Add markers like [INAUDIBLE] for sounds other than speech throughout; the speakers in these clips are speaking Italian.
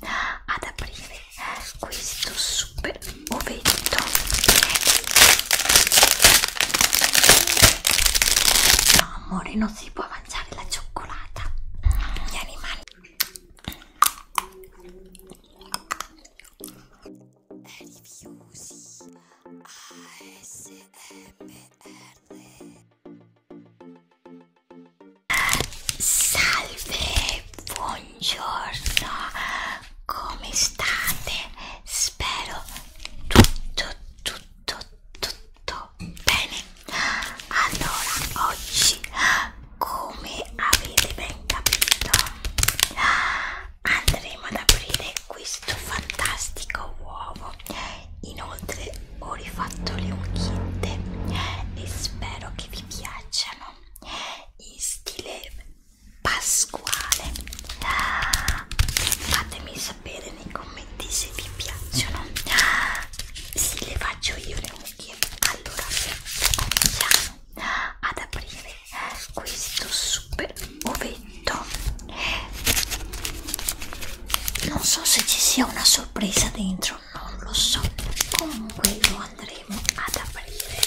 ad aprire questo super ovetto no amore non si può mangiare la cioccolata gli animali Rifiusi ASMR Salve, buongiorno, come state? Spero tutto, tutto, tutto bene. Allora, oggi, come avete ben capito, andremo ad aprire questo fantastico uovo. Inoltre ho rifatto le unghie e spero che vi piacciono in stile pasquale fatemi sapere nei commenti se vi piacciono se le faccio io le unghie allora cominciamo ad aprire questo super ovetto non so se ci sia una sorpresa dentro peggio non lo so comunque lo andremo ad aprire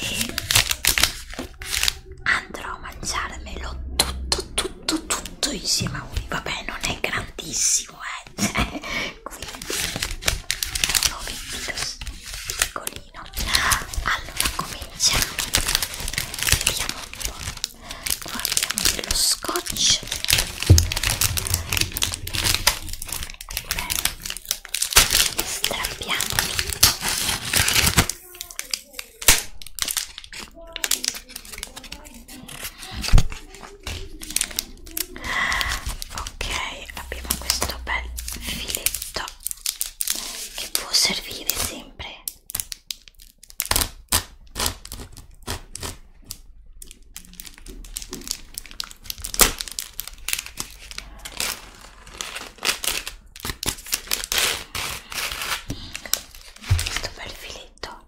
e andrò a mangiarmelo tutto tutto tutto insieme a lui vabbè non è grandissimo eh [LAUGHS] quindi è un obiettivo piccolino allora cominciamo vediamo un po' guardiamo dello scotch bene strappiamo ok abbiamo questo bel filetto che può servire sempre Esto perfilito.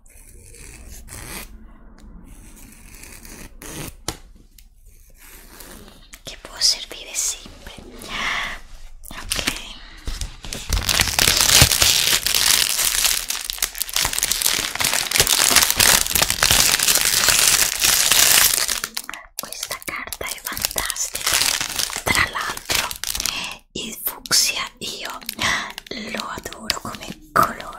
Que puedo servir de simple. Ok. Questa carta è fantastica, tra l'altro il fucsia io lo adoro come colore.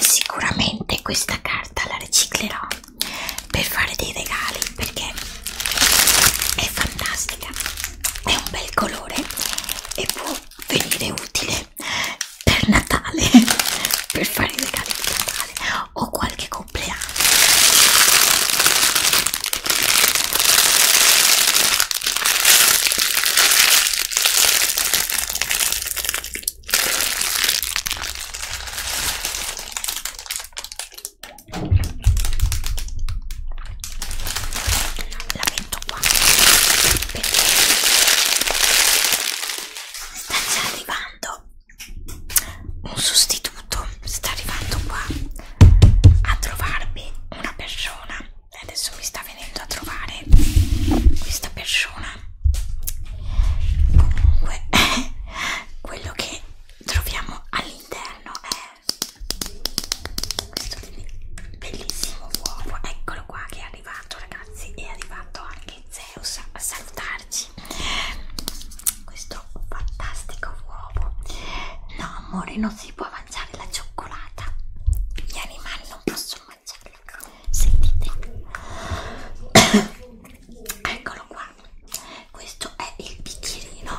Sicuramente questa carta la riciclerò per fare dei regali perché è fantastica, è un bel colore e può venire utile per Natale, [LAUGHS] per fare i regali di Natale o qualche compleanno la metto qua perché sta già arrivando un sostituto sta arrivando qua a trovarmi una persona adesso mi sta venendo a trovare questa persona comunque [LAUGHS] quello che troviamo all'interno è questo bellissimo uovo eccolo qua che è arrivato ragazzi è arrivato anche Zeus a salutarci questo fantastico uovo no amore non si può mangiare mangiare la cioccolata gli animali non possono mangiarla sentite [COUGHS] eccolo qua questo è il bicchierino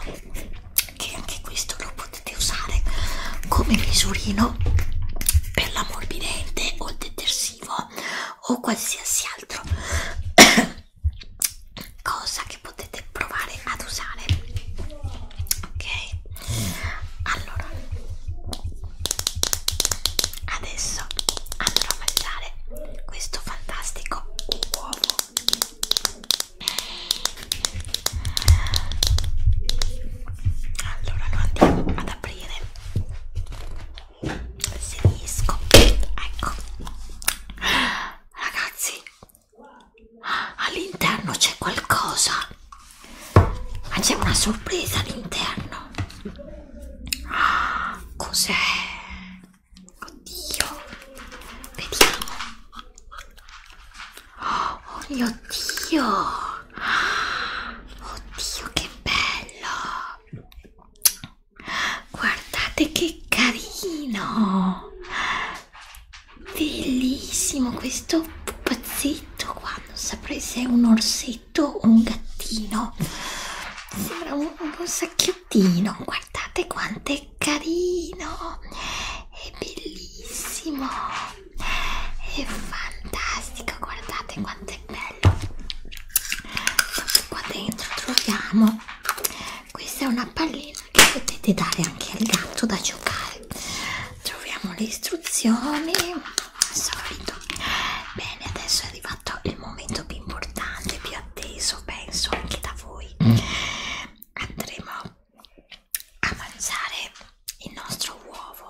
che anche questo lo potete usare come misurino per l'ammorbidente o il detersivo o qualsiasi altro [COUGHS] cosa che potete provare ad usare ok allora adesso andrò a mangiare questo fantastico uovo allora lo andiamo ad aprire se riesco ecco ragazzi all'interno c'è qualcosa ma c'è una sorpresa all'interno ah, cos'è oddio vediamo oh, oh mio dio ah, oddio che bello guardate che carino Bellissimo questo pupazzetto qua, non saprei se è un orsetto o un gattino. Sembra un, un sacchiottino, guardate quanto è carino, è bellissimo, è fantastico, guardate quanto è bello. Qua dentro troviamo questa è una pallina che potete dare anche al gatto da giocare troviamo le istruzioni al solito bene adesso è arrivato il momento più importante più atteso penso anche da voi mm. andremo a mangiare il nostro uovo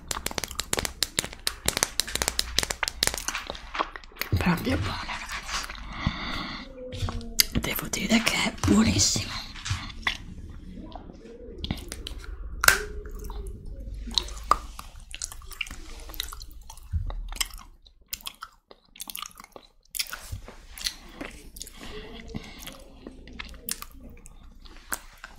proprio buona ragazzi devo dire che è buonissima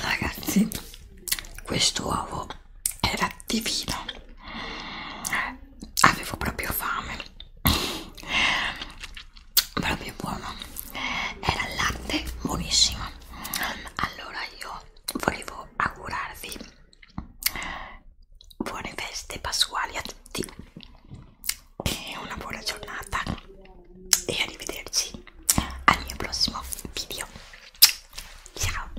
Ragazzi, questo uovo era divino. Avevo proprio fame. Proprio buono. Era latte buonissimo. Allora io volevo augurarvi buone feste pasquali a tutti e una buona giornata e arrivederci al mio prossimo video ciao